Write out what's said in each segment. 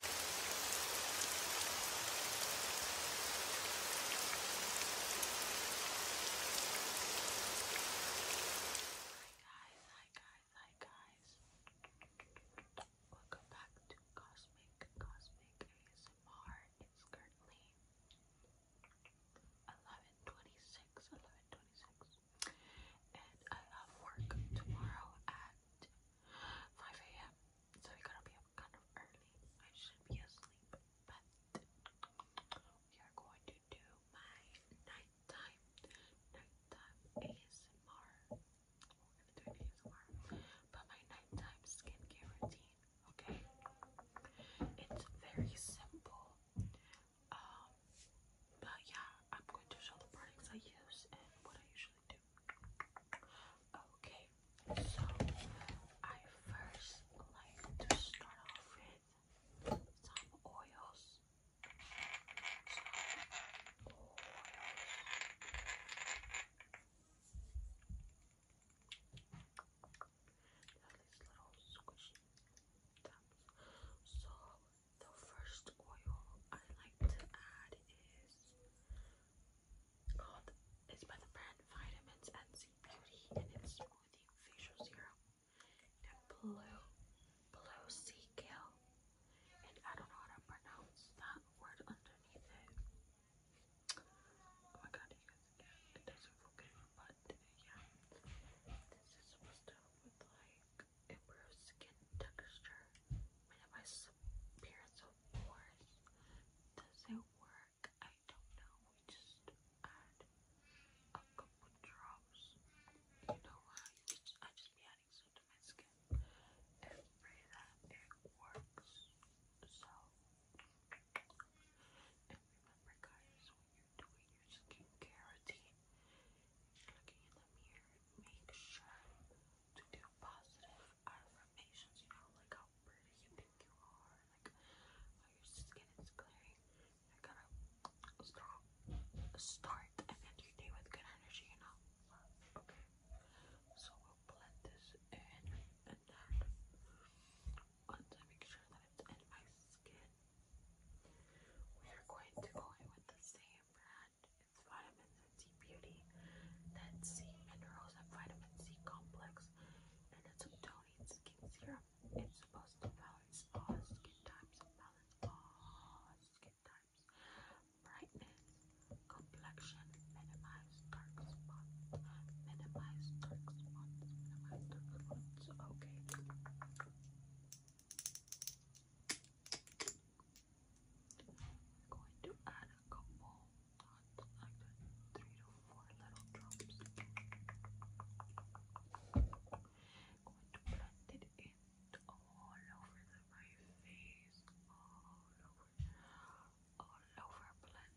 Hi guys, hi guys, hi guys. Welcome back to Cosmic Cosmic ASMR. It's currently 11:26, 11:26, and I have work tomorrow at 5 a.m. So we gotta be up kind of early. I should be asleep, but we are going to do my nighttime, nighttime ASMR. We're gonna do ASMR, but my nighttime skincare routine. Okay, it's very simple. Um, but yeah, I'm going to show the products I use and what I usually should do. Okay, so I first like to start off with some oils the first oil I like to add is called, it's by the brand Vitamins and Beauty, and it's Smoothing Facial Serum in blue, blue sea kale, and I don't know how to pronounce that word underneath it. Oh my god, you guys, it doesn't focus, but yeah, this is supposed to with like improves skin texture. Minimize appearance of pores. Does it work? I don't know. We just add a couple drops. You know what? I just be adding some to my skin and pray that it works. So, and remember, guys, you're doing your skincare routine, looking in the mirror, make sure to do positive affirmations, you know, like how pretty you think you are, like how your skin is clearing. You're to start, and end your day with good energy, you know? Okay, so we'll blend this in, and then once I make sure that it's in my skin, we are going to go in with the same brand. It's Vitamin C Beauty. That's C Minerals and Vitamin C Complex. And it's a toning skin serum. It's supposed to balance all skin types. Balance all skin types. Brightness, complexion, minimize dark spots. Minimize dark spots. Minimize dark spots. Okay. I'm going to add a couple, not like three to four little drops. going to blend it in all over the, face, all over, all over, blend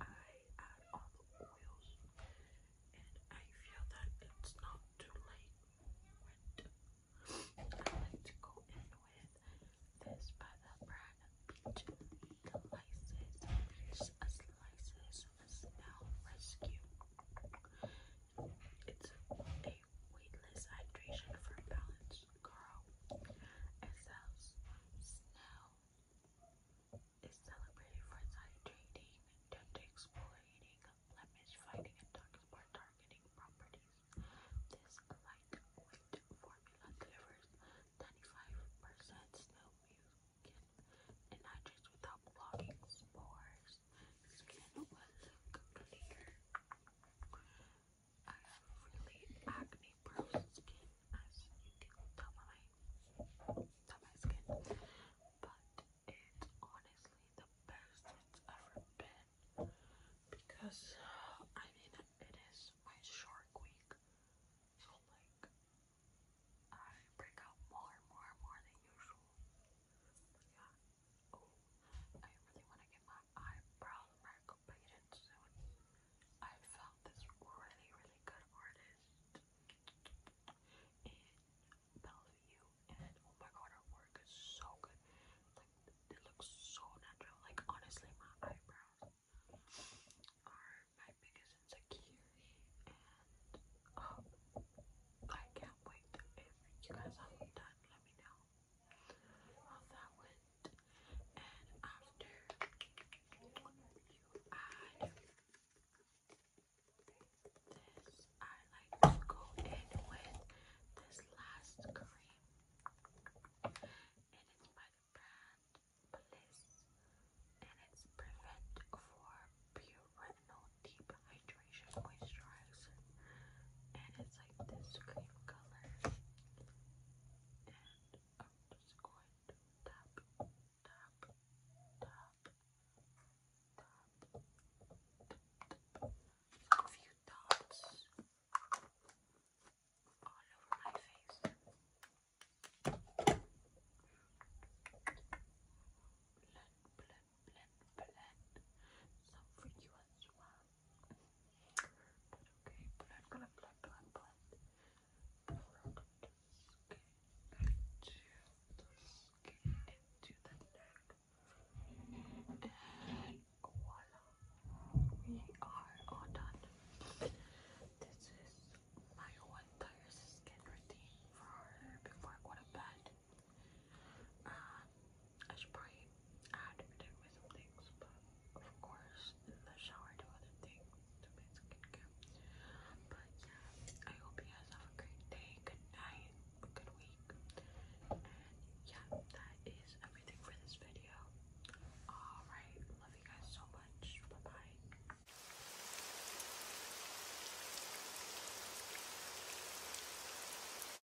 I add all the oils, and I feel that it's not too late I like to go in with this by the brand Peach Delices. It's a Slices Smell Rescue. It's a weightless hydration for balance, girl. It sells is celebrated for its high trading, gender exploiting, blemish fighting, and dark spot targeting properties. This lightweight formula delivers 95% snow mucin and hydrates without blocking spores. Skin will look cleaner. I have really acne-prone skin, as you can tell by my, tell my skin, but it's honestly the best it's ever been because I mean it is my Shark Week, so like I break out more and more and more than usual. Yeah. Oh, I really want to get my eyebrow micro painted soon. I found this really, really good artist in Bellevue, and oh my god, her work is so good. Like, it looks so natural. Like, honestly, my eyebrows are my biggest insecurity, and um, I can't wait. If you guys haven't done, let me know how that went and after you add this, I like to go in with this last cream. It is by the brand Bliss, and it's Prevent for Pure Retinol Deep Hydration Moisturizer, and it's like this cream color and I'm just going to tap, tap, tap, tap, tap, tap. a few dots all over my face. Blend, blend, blend, blend. Some for you as well. But okay, but I'm gonna blend, blend, blend product skin into the skin, into the neck, and voila, we are all done. This is my one entire skin routine for before I go to bed. I should probably add protect with some things, but of course in the shower do other things to make skincare. But yeah, I hope you guys have a great day, good night, good week. And yeah, that is everything for this video. Alright, love you guys so much. Bye-bye.